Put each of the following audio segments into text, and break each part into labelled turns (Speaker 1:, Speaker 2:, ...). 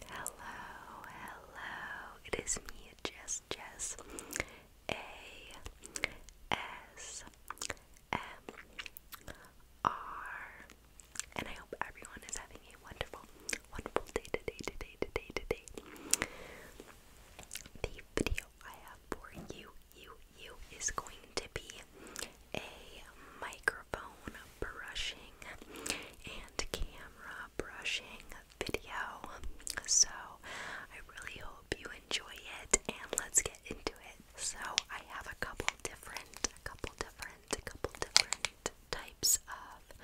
Speaker 1: Hello, hello. It is me, Jess Jess. A S M R. And I hope everyone is having a wonderful, wonderful day today, today, today, today. The video I have for you, you, you is going to be a microphone brushing and camera brushing video. So I really hope you enjoy it and let's get into it. So I have a couple different, a couple different, a couple different types of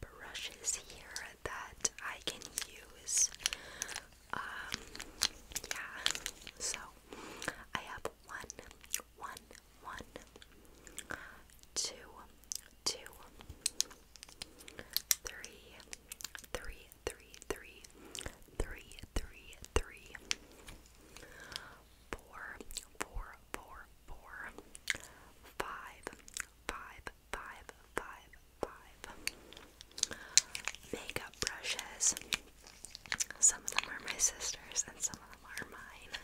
Speaker 1: brushes here that I can use. Um, yeah. So I have one one one, two, two, three, three, three, three, three, three, three, four, four, four, four, five, five, five, five, five. Makeup brushes. Some of them are my sister's and some of them are mine.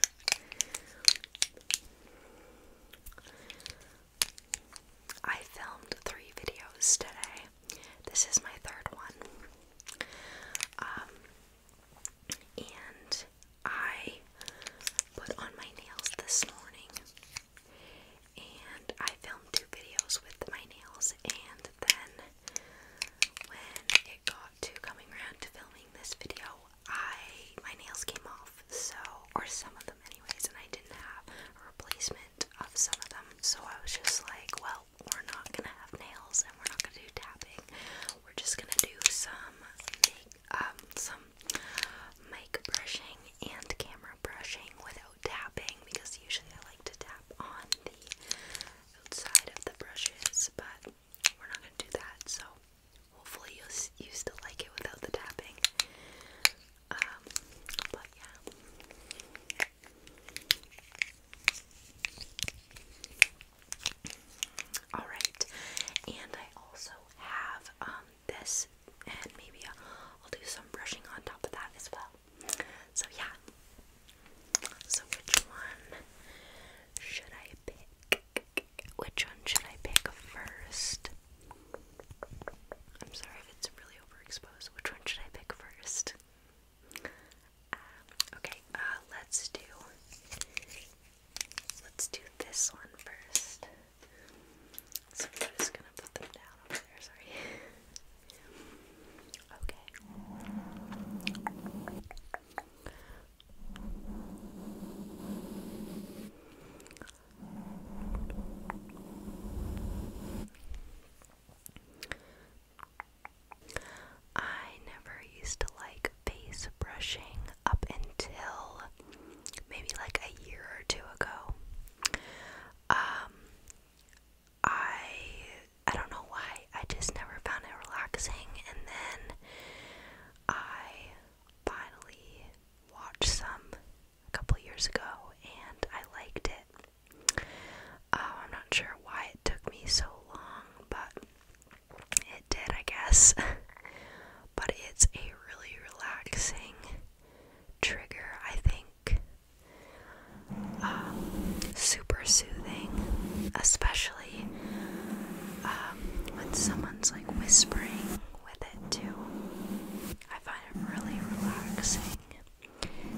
Speaker 1: I filmed three videos today. This is my third one. Um, and I put on my nails this morning. And I filmed two videos with my nails, and then when it got to coming around to filming this video, I my nails came off, so or some of them anyways, and I didn't have a replacement of some of them. So I was just like, well, we're not gonna have nails, and we're not gonna do tapping. We're just gonna do some make um some mic brushing and camera brushing without tapping because usually I like to tap on the outside of the brushes, but we're not gonna do that. So Hopefully you you still like it without the tapping. Um, but yeah. All right, and I also have um this, and maybe I'll do some brushing on top of that as well. So yeah. So which one should I pick? Which one should I pick first? I'm sorry it's really overexposed. Which one should I pick first? Um, okay, uh, let's do let's do this one first. So I'm just gonna put them down over there. Sorry. Okay. I never used to like face brushing up until maybe like a year or two ago. Um I I don't know why. I just never found it relaxing and then I finally watched some a couple years ago and I liked it. Oh, I'm not sure why it took me so long, but it did, I guess. but it's a really relaxing trigger, I think. Um, super soothing, especially really um, when someone's like whispering with it too. I find it really relaxing.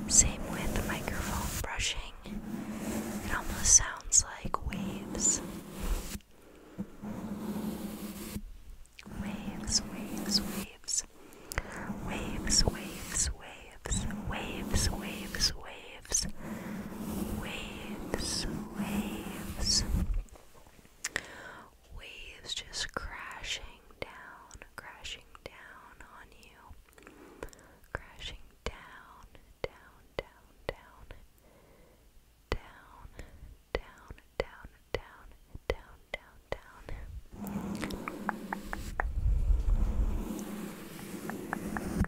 Speaker 1: Same with microphone brushing. It almost sounds like waves. Waves, waves, waves. Waves, waves, waves. Waves, waves, waves waves, waves, waves, waves just crashing down, crashing down on you, crashing down, down, down, down, down, down, down, down, down, down, down. Down, down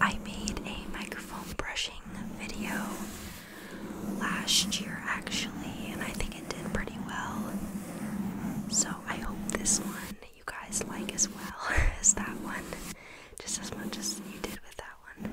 Speaker 1: I made a microphone brushing video last year actually, and I think it did pretty well. So I hope this one you guys like as well as that one, just as much as you did with that one.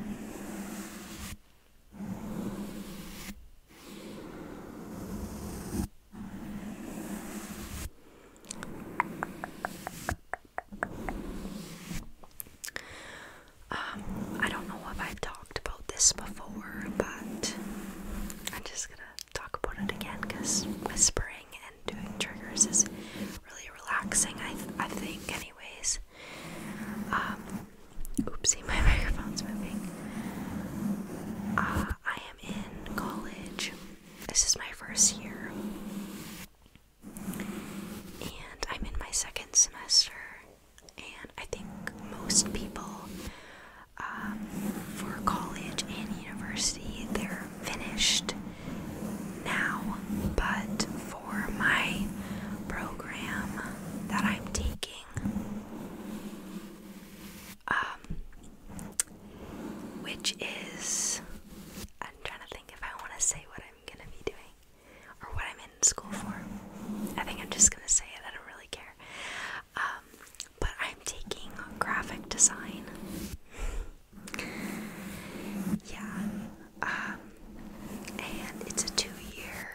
Speaker 1: Um, I don't know if I've talked about this before, but I'm just gonna talk about it again because whispering and doing triggers is really relaxing, I, I think, anyways. Um, oopsie, my microphone's moving. Uh, I am in college. This is my first year. And I'm in my second semester. And I think most people um, for college and university, they're finished now. But for my program that I'm taking, um, which is I'm trying to think if I want to say what I'm gonna be doing or what I'm in school for. I think I'm just gonna say it. I don't really care. Um, but I'm taking graphic design. yeah, um, and it's a two-year,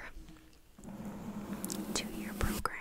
Speaker 1: two-year program.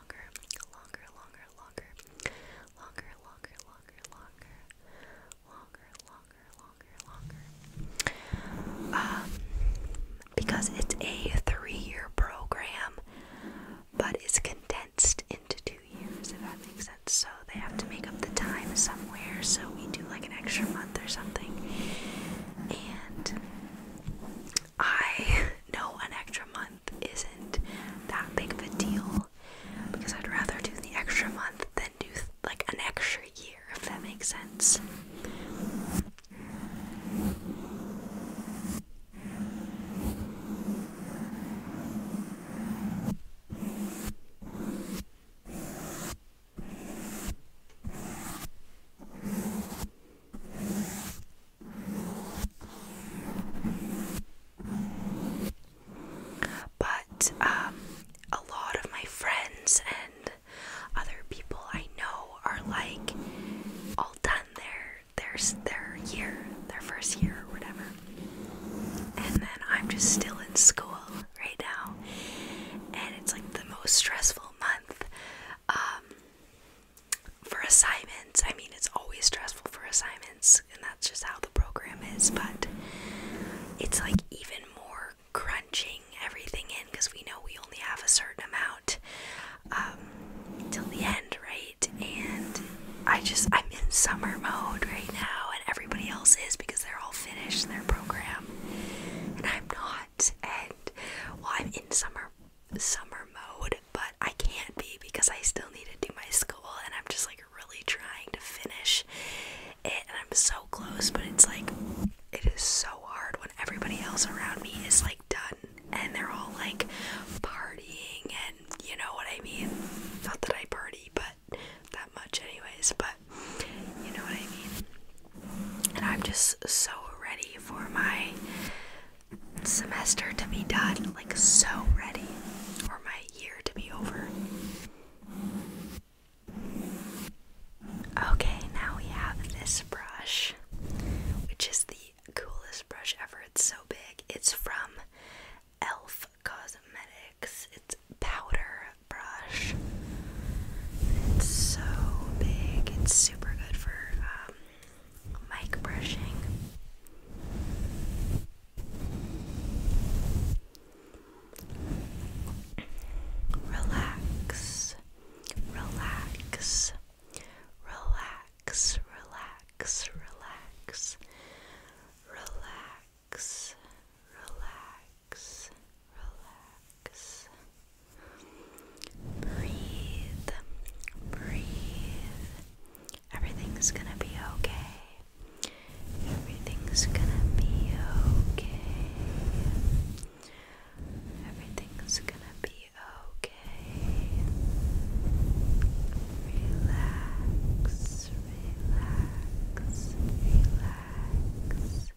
Speaker 1: longer, longer, longer, longer, longer, longer, longer, longer, longer, longer, longer, longer. Um, because it's a three-year program, but it's condensed into two years, if that makes sense. So they have to make up the time somewhere, so we do like an extra month or something. And I know an extra month isn't that big of a deal because I'd rather do the extra month than do like an extra year, if that makes sense. But um, a lot of my friends and other people I know are like all done their their their year, their first year or whatever. And then I'm just still in school right now, and it's like the most stressful month um, for assignments, I mean, it's always stressful for assignments, and that's just how the program is, but it's like even more crunching everything in because we know we only have a certain amount um, till the end, right? And I just, I'm in summer mode right now, and everybody else is because they're all finished their program, and I'm not. And well, I'm in summer summer mode, but I can't be because I still need to do my school and I'm just like really trying to finish it and I'm so close but it's like it is so hard when everybody else around me is like done and they're all like partying and you know what I mean not that I party but that much anyways but you know what I mean and I'm just so ready for my semester to be done, like so ready, for my year to be over. Okay, now we have this brush, which is the coolest brush ever. It's so big. It's from ELF Cosmetics. It's powder brush. It's so big. It's super good for um, mic brushing.
Speaker 2: Relax, relax, relax, relax, relax, relax, relax, relax.
Speaker 1: Breathe, breathe. Everything's gonna be okay. Everything's gonna be okay. Everything's gonna be okay. Relax, relax, relax.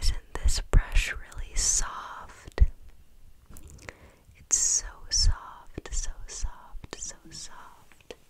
Speaker 1: Isn't this brush really soft? It's so soft, so soft, so soft.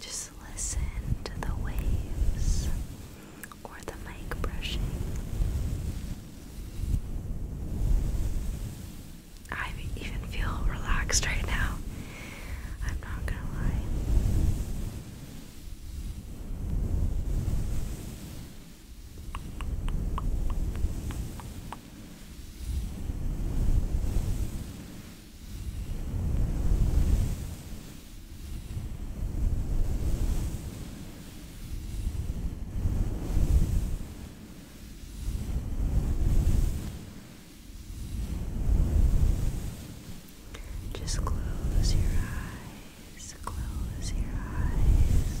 Speaker 1: Just listen to the waves or the mic brushing. I even feel relaxed right now. I'm not gonna lie. Just close your eyes, close your eyes.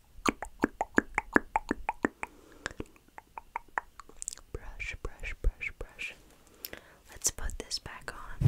Speaker 1: Brush, brush, brush, brush. Let's put this back on.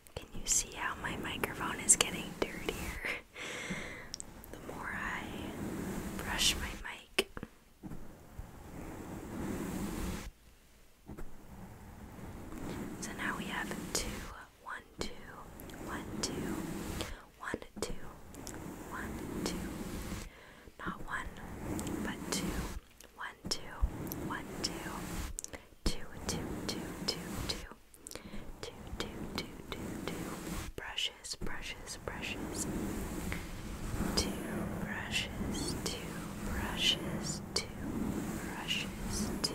Speaker 2: Can you see how my microphone is getting dirtier? the more I brush my mic. So now we have two, one, two, one, two, one, two, one, two. Not one, but two. One, two, one, two, two, two, two, two, two brushes, brushes, brushes, two brushes, two brushes, two brushes, two brushes. Two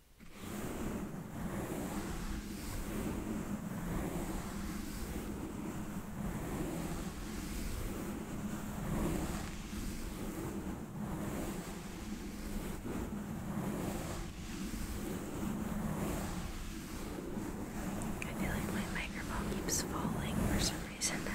Speaker 1: I feel like my microphone keeps falling for some reason now.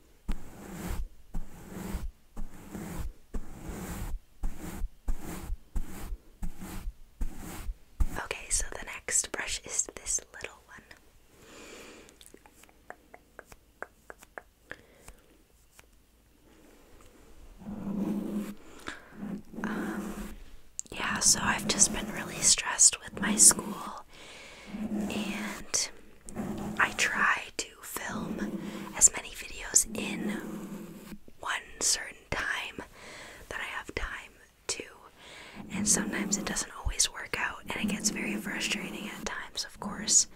Speaker 1: Okay, so the next brush is this little one. Um, yeah, so I've just been really stressed with my school and I try to film as many videos in one certain time that I have time to, and sometimes it doesn't always work out, and it gets very frustrating at times, of course,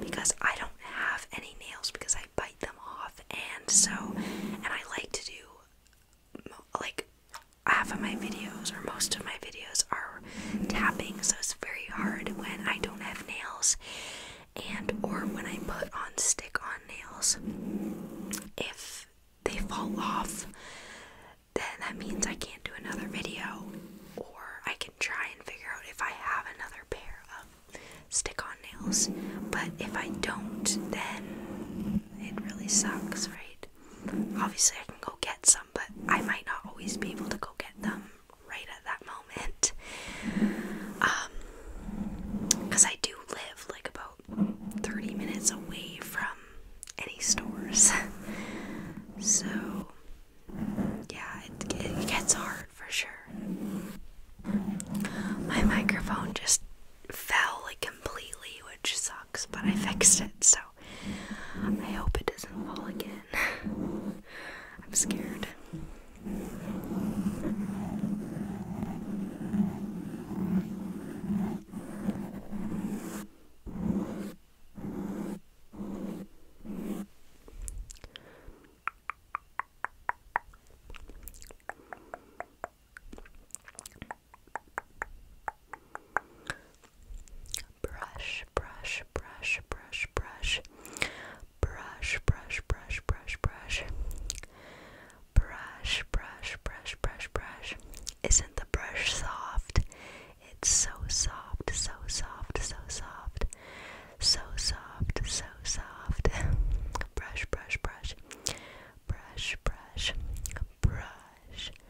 Speaker 1: because I don't have any nails because I bite them off, and so, and I like to do like half of my videos or most of my videos are tapping, so it's very hard when I don't have nails and or when I put on stick on nails. If they fall off, then that means I can't do another video or I can try and figure out if I have another pair of stick on nails. But if I don't, then it really sucks, right? Obviously, I can go get some, but I might not always be able to go get them right at that moment. Um, because I do live like about 30 minutes away from any stores, so yeah, it, it gets hard for sure. My microphone just fell like completely, which sucks, but I fixed it so I hope it doesn't fall again. I'm scared
Speaker 2: brush, brush, brush, brush, brush, brush, brush, brush, brush, brush, brush, brush, brush, brush, brush. Isn't the brush soft? It's so soft, so soft, so soft, so soft, so soft. Brush, brush, brush, brush, brush, brush.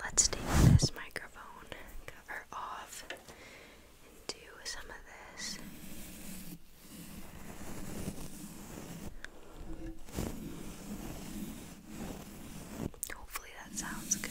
Speaker 1: Let's take this microphone cover off and do some of this. Hopefully, that sounds good.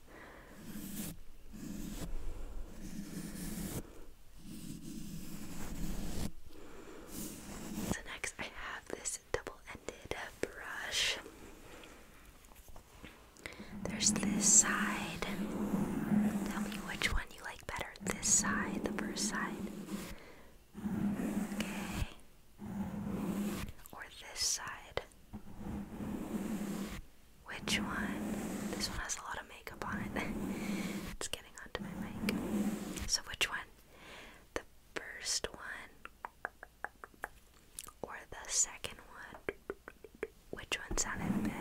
Speaker 1: So next I have this double-ended brush. There's this side. Tell me which one you like better. This side, the first side. Okay. Or this side. Which one? This one has a lot of makeup on it. it's getting onto my mic. So, which one? The first one or the second one? Which one sounded better?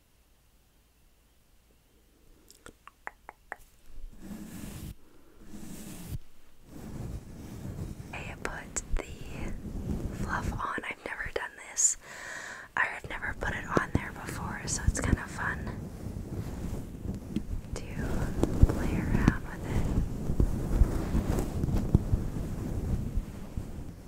Speaker 1: I put the fluff on. I've never done this. I've never put it on there before, so it's kind of fun to play around with it.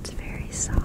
Speaker 1: It's very soft.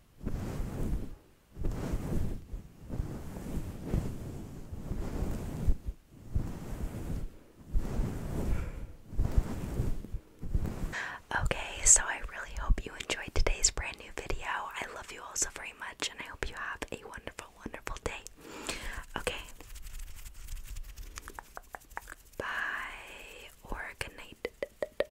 Speaker 1: Okay, so I really hope you enjoyed today's brand new video. I love you all so very much, and I hope you have a wonderful, wonderful day. Okay.
Speaker 2: Bye, good night.